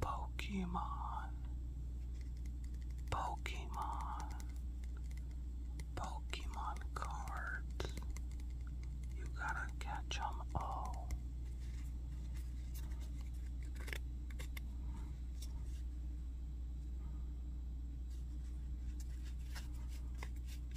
Pokemon, Pokemon, Pokemon cards. You gotta catch all.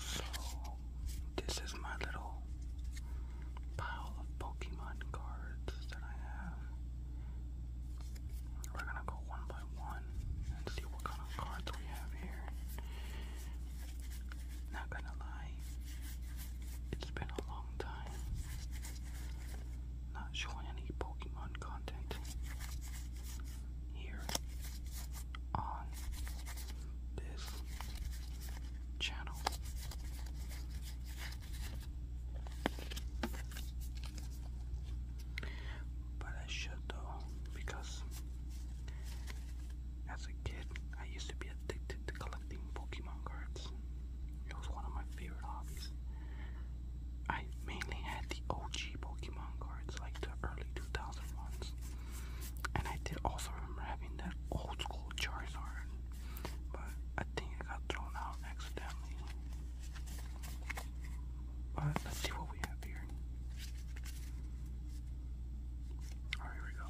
So, this is my little pile of Pokemon cards that I have. We're gonna go one by one and see what kind of cards we have here. Not gonna lie, it's been a long time. Not showing any Pokemon content here on this channel. But I should though, because as a kid I used to be addicted to collecting collecting Pokemon cards. It was one of my favorite hobbies. I mainly had the OG Pokemon cards, like the early 2000 ones. And I did also remember having that old school Charizard, but I think it got thrown out accidentally. But let's see what we have here. here we go.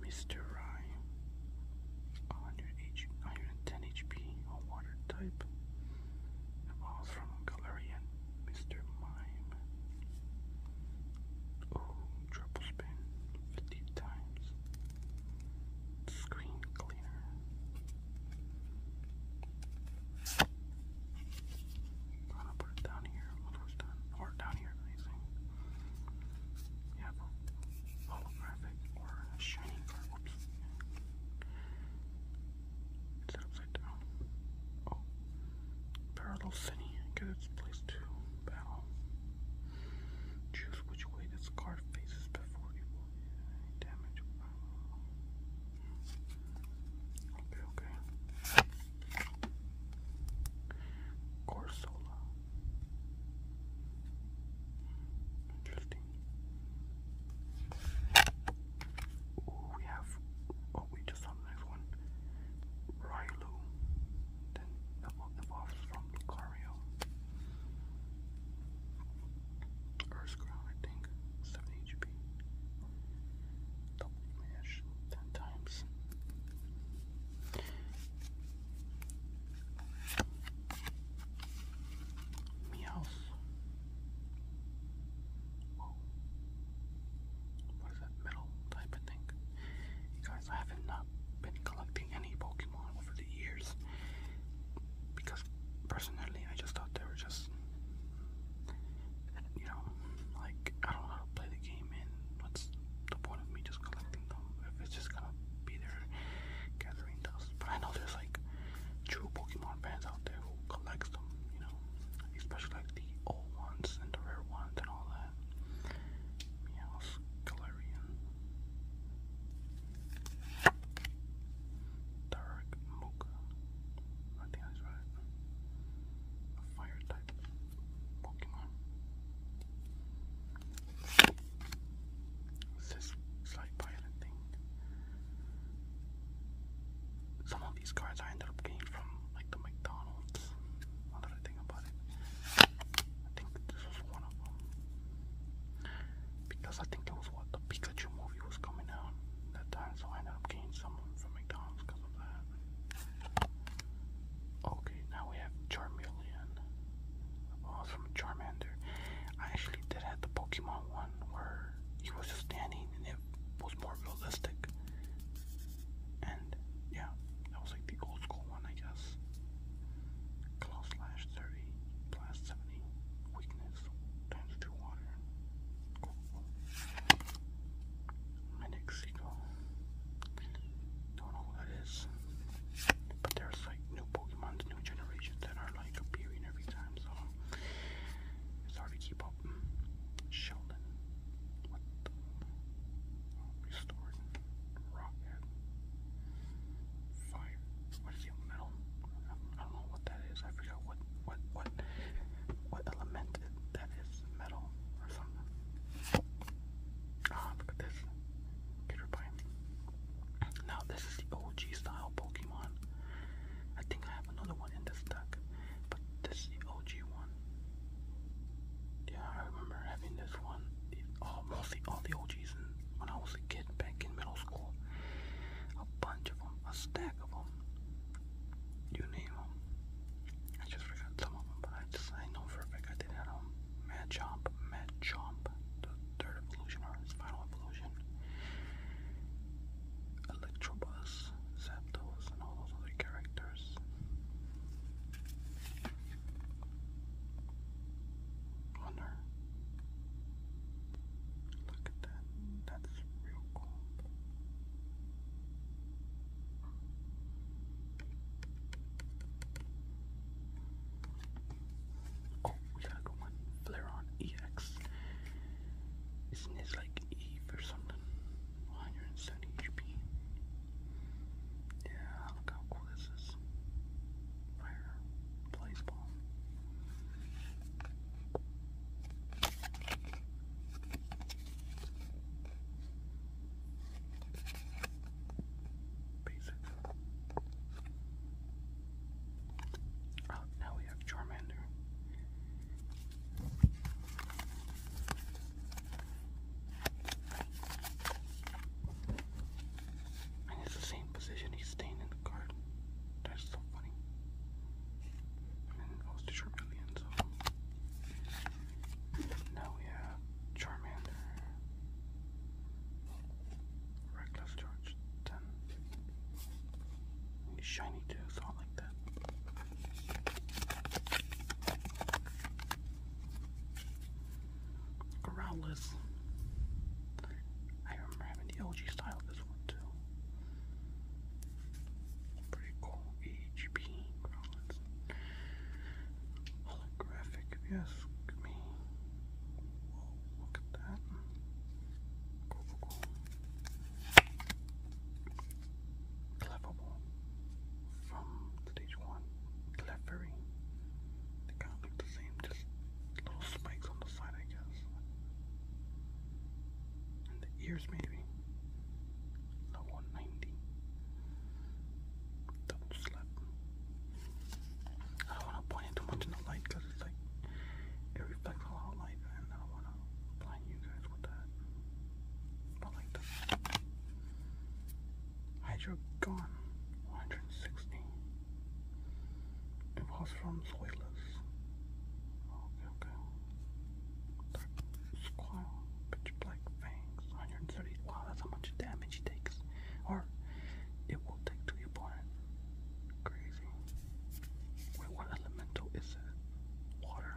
Mr. Rye, 110 HP water type. Evolves from Galarian, Mr. Mime. Oh, triple spin 50 times. Screen cleaner. gonna put it down here. Once done, or down here, you holographic or a shining It's upside down. Oh. Parallel City gets its place to battle. Choose which way this card faces before you damage. Okay, okay. Corsola. Interesting. Ooh, we have. Oh, we just saw the next one. Rylu. Then the evolves from Lucario. Earthground, I think. 7 HP. Double damage 10 times. Meows. Whoa. What is that metal type of thing? guys, I haven't been collecting any Pokemon over the years because personally, I just thought they were just, you know, like I don't know to play the game name what's the point of me just collecting them if it's just gonna be there gathering dust. But I know there's like true Pokemon fans out there who collect them, you know, especially like the old ones and the rare ones and all that. Meow's Galarian. Dark Mocha. I think that's right. A fire type. Pokemon. this slight violet thing. Some of these cards I ended up getting from like the McDonald's. Now that I think about it, I think this was one of them because I think it was what the Pikachu movie was coming out that time, so I ended up getting some from McDonald's Okay, now we have Charmeleon. Oh, from Charmander. I actually did have the Pokemon one where he was just standing and it was more realistic. And yeah, that was like the old school one, I guess. Close slash 30 plus 70. Weakness times 2 Mexico. Don't know who that is. But there's like new Pokemon, new generations that are like appearing every time, so it's hard to keep up. Sheldon. What oh, restored. Rocket. Fire. What is it? Metal? I don't know what that is. I forgot what what what what element that is some metal or something. Ah, look at this. Caterpie. Now, this is the OG style Pokemon. I think I have another one in this deck, but this is the OG one. Yeah, I remember having this one. The, mostly all the OGs when I was a kid back in middle school. A bunch of them, a stack of them. You name them. I just forgot some of them, but I just I know for a fact I did that um Mad Jump, Mad Jump, the third evolution or his final evolution. Electrobus, Zapdos, and all those other characters. Wonder. Look at that. That's real cool. Oh, we got a good one. Flareon EX. Isn't this like E or something? 170 HP. Yeah, look how cool this is. Fire blaze ball. Basic. Oh, now we have Charmander. And it's the same position he's staying in the card. That's so funny. And then it goes now we have Charmander, Reckless George 10. Shiny too, so like that. Growlithe. I remember having the LG style of this one too. Pretty cool. EGP Growlithe holographic, if you ask me. look at that. Cool, from stage one. Clevery. They kind of look the same, just little spikes on the side, I guess. And the ears, maybe. No 190. Double slap. I don't want to point it too much in the light because it's like it reflects a lot of light, and I don't want to blind you guys with that. But like that. Hydro 160. It was from Zoilus. Okay, okay. Dark squirrel. Pitch Black Fangs, 130. Wow, that's how much damage he takes. Or it will take to the opponent. Crazy. Wait, what elemental is it? Water?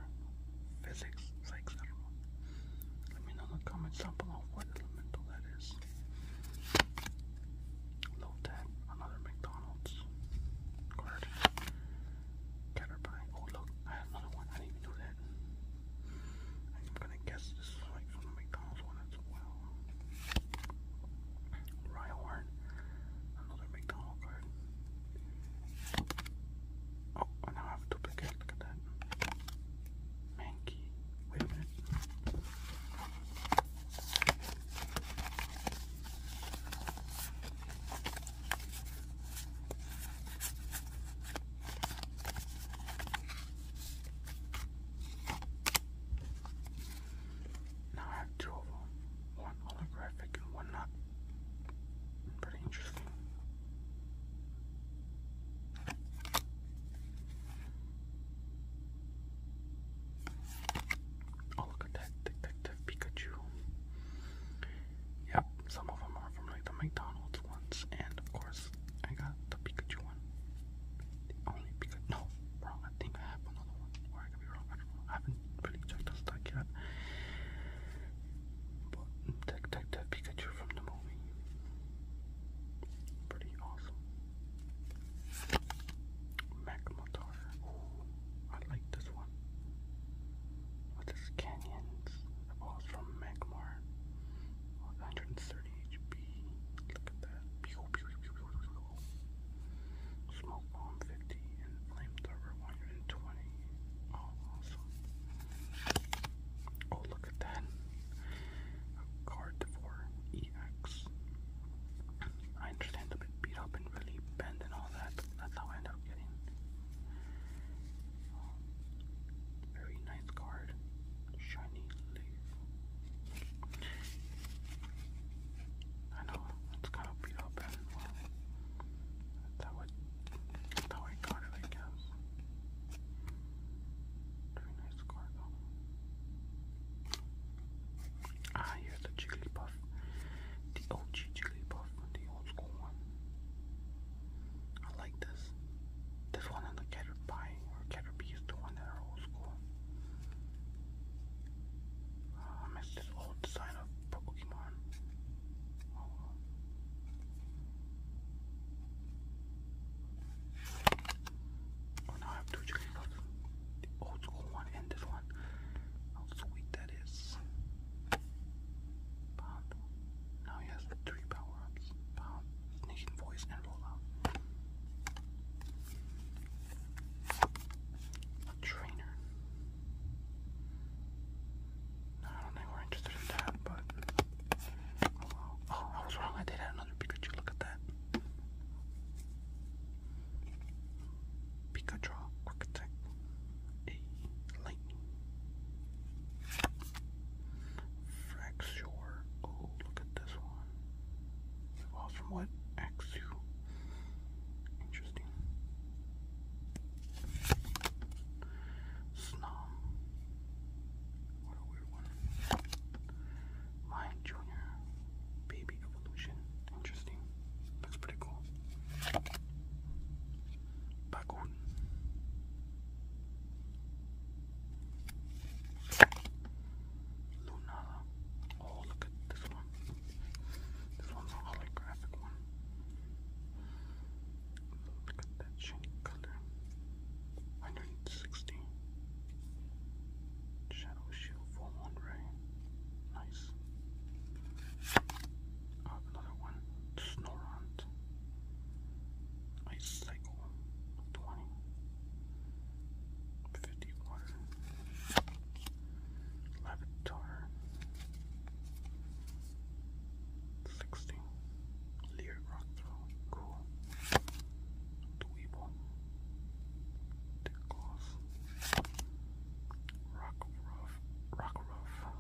Physics? Psychs? Let me know in the comments down below what elemental that is. Low tap, another McDonald's card. Caterpie. Oh, look, I have another one. I didn't even do that. I'm gonna guess this is like from McDonald's one as well. Rhyhorn, another McDonald's card. Oh, I have a duplicate. Look at that. Mankey. Wait a minute. Now I have two of them, one holographic and one not. Pretty interesting. Oh, look at that Detective Pikachu. Yep, some of them are from like the McDonald's ones, and of course, I got the Pikachu one. The only Pikachu. No, wrong. I think I have another one. Or I could be wrong. I don't know. I haven't really checked the stock yet. But that, that, that Pikachu from the movie. Pretty awesome. Magmatar. Ooh, I like this one. With canyons. The balls from Magmar. 130 HP. Look at that. Smoke bomb 50 and flamethrower 120. Oh, awesome. Oh, look at that. A card for EX. I understand a bit beat up and really bent and all that, that's how I ended up getting very nice card. Shiny leaf. I know it's kind of beat up as That would how I got it I guess. Very nice card though. Ah here's the Jigglypuff. The OG Jigglypuff, the old school one. I like this. This one on the Caterpie or Caterpie is the one that are old school. Uh, miss this old design of Pokemon. Oh. oh, I have two Jigglypuffs. The old school one and this one. How sweet that is. Now he has three pound forearms, A trainer. No, I don't think we're interested in that, but oh I was wrong, I did have another Pikachu, look at that. Pikachu, quick attack, a lightning. Fraxure. Oh, look at this one. from what? Axu. Interesting. Snom. What a weird one. Mine Junior. Baby Evolution. Interesting. Looks pretty cool. Bagoon. Lunada. Oh, look at this one. This one's a holographic one. Look at that shiny color. 160. Shadow Shield Full Moon Ray. Nice. Uh, another one. Snorant. Ice 21, 20, 51, Lavatar, cool, Dweeble, Tickles, Rock Ruff, Rock Ruff,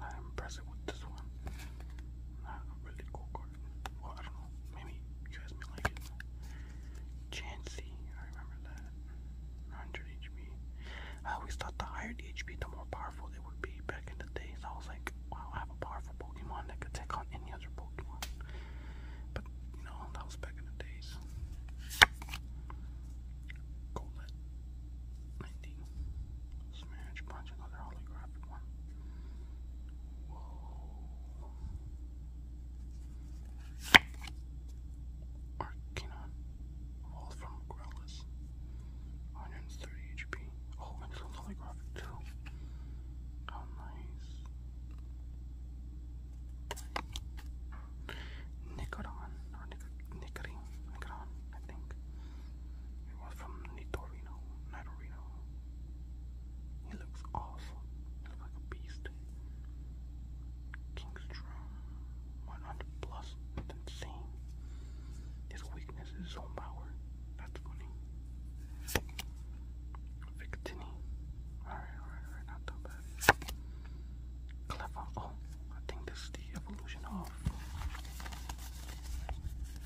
not with this one, really cool card well, I don't know, maybe you guys may like it. Chansey, I remember that. 100 HP. I always thought the higher the HP, the more powerful they would be back in the days. I was like, wow, I have a powerful Pokemon that could take on any other Pokemon. But, you know, that was back in the days. Golette, 19. Smash, punch another holographic one. Whoa. Arcanon. Wall from Growlithe. 130 HP. Oh, and it's one's holographic too. How nice. Nicodon. Or Nicodon. Nicodon, I think. It was from Nitorino, Nitorino. He looks awesome. He looks like a beast. King's 100 plus. insane. His weakness is own power. That's funny. Victini. Alright, alright, Not that bad. Clever. Oh, I think this is the evolution of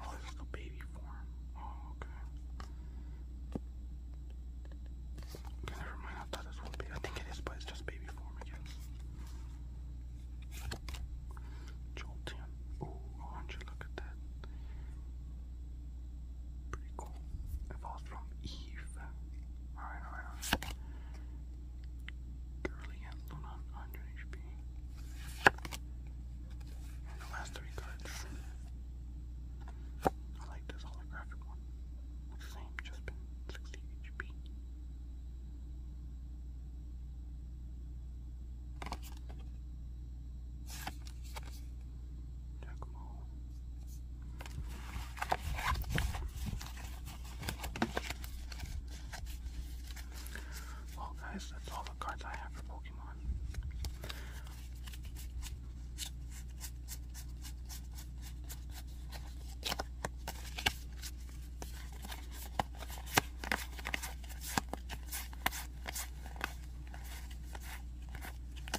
Oh, this the baby form. Oh, okay. never mind. I thought this would be. I think it is, but it's just baby form, I guess. Jolteon. Oh, Orange, look at that. Pretty cool. Evolved from Alright, alright, alright. Curly and Luna, 100 HP. And the last three cards. I like this holographic one. same, just been 60 HP. Well, guys, that's all the cards I have for Pokemon.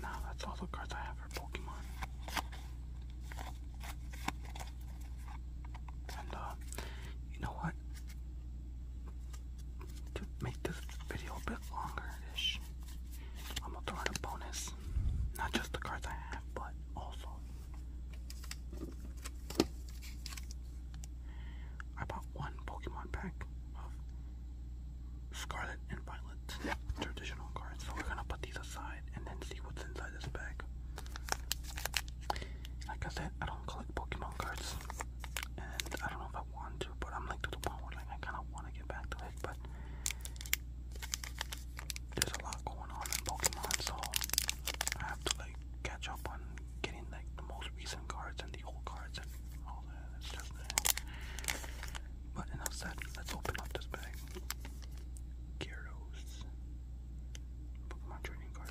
now, that's all the cards I have for Pokemon. And, uh, you know what? To make this video a bit longer-ish, I'm gonna throw in a bonus. Not just the cards I have, but also I bought one Pokemon pack of Scarlet and Violet traditional cards, so we're gonna put these aside and then see what's inside this bag. Like I said, I don't collect Pokemon cards, and I don't know if I want to, but I'm like to the point where like I kind of want to get back to it, but there's a lot going on in Pokemon, so I have to like catch up on getting like the most recent cards and the old cards and all that. stuff. But enough said. Let's open up this bag. Gyarados. Pokemon trading card.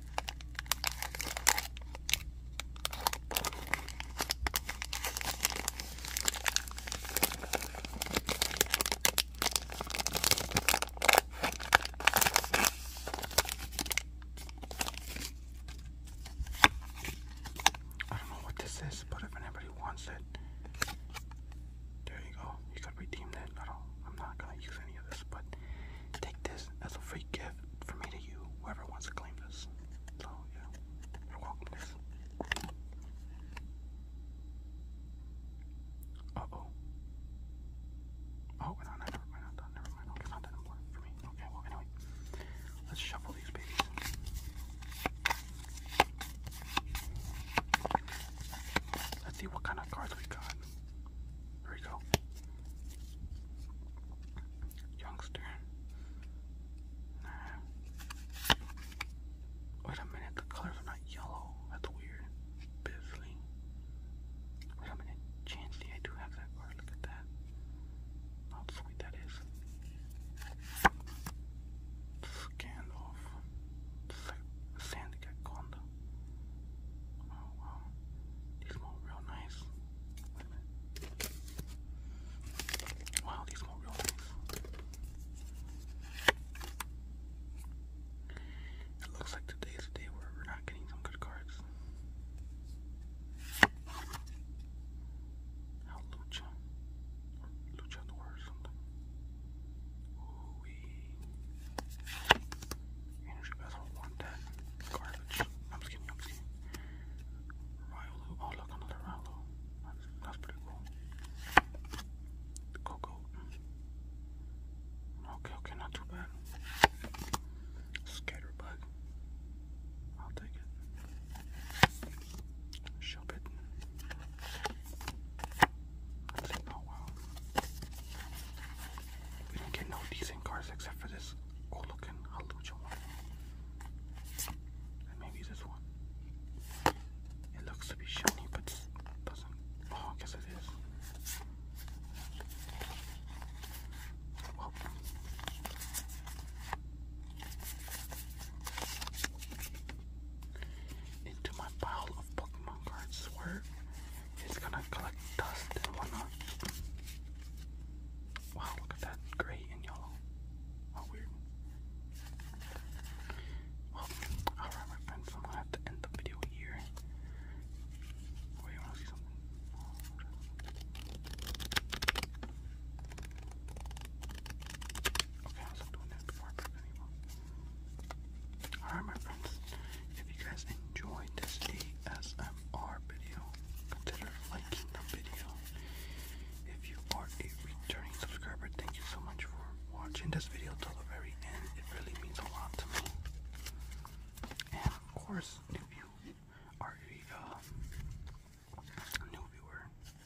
I don't know what this is, but if anybody wants it, there you go. You could redeem that. I gonna use any of this, but Take this as a free gift for me to you, whoever wants to claim this. So, yeah, you're welcome this. Uh oh. Oh, no, no, never mind, never mind. Okay, not anymore for me. Okay, well, anyway, let's shuffle these babies. Let's see what kind of cards we got. Here we go. Youngster. Wait a minute, the colors are not yellow. That's weird. Bisley. Wait a minute, Chansey, I do have that card. Look at that. How sweet that is. Scandal. Sandy Gaconda wow. These smell real nice. Wow, these smell real nice. It looks like today's the day where we're not getting some good cards. How lucha or luchador or Energy Battle, want Garbage. I'm just kidding, I'm just kidding. Ryolu. Oh, look, another Ryolu. That's, that's pretty cool. Coco. Okay, okay, not too bad. Scatterbug. I'll take it. Shove Oh, wow. We didn't get no decent cars except for this old looking halucha one. And maybe this one. It looks to be shiny, but doesn't. Oh, I guess it is. into my pile of Pokemon cards it's gonna collect dust and whatnot. Wow, look at that gray and yellow. How weird. alright, my friends, I'm gonna have to end the video here. Wait, oh, you wanna see something? Okay, I'll stop doing that before I press Alright, my friends, if you guys enjoyed this ASMR our video, consider liking the video. If you are a returning subscriber, thank you so much for watching this video till the very end. It really means a lot to me. And of course, if you are a uh, new viewer,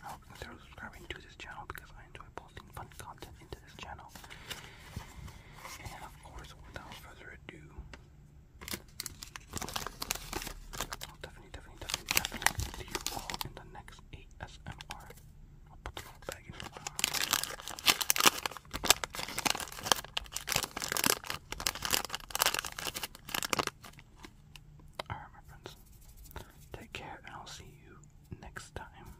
I hope you consider subscribing to this channel because I enjoy posting fun content into this channel. And of course, without further ado, Oh, definitely, definitely, definitely, definitely see you all in the next ASMR. I'll put the little bag Alright, my friends. Take care, and I'll see you next time.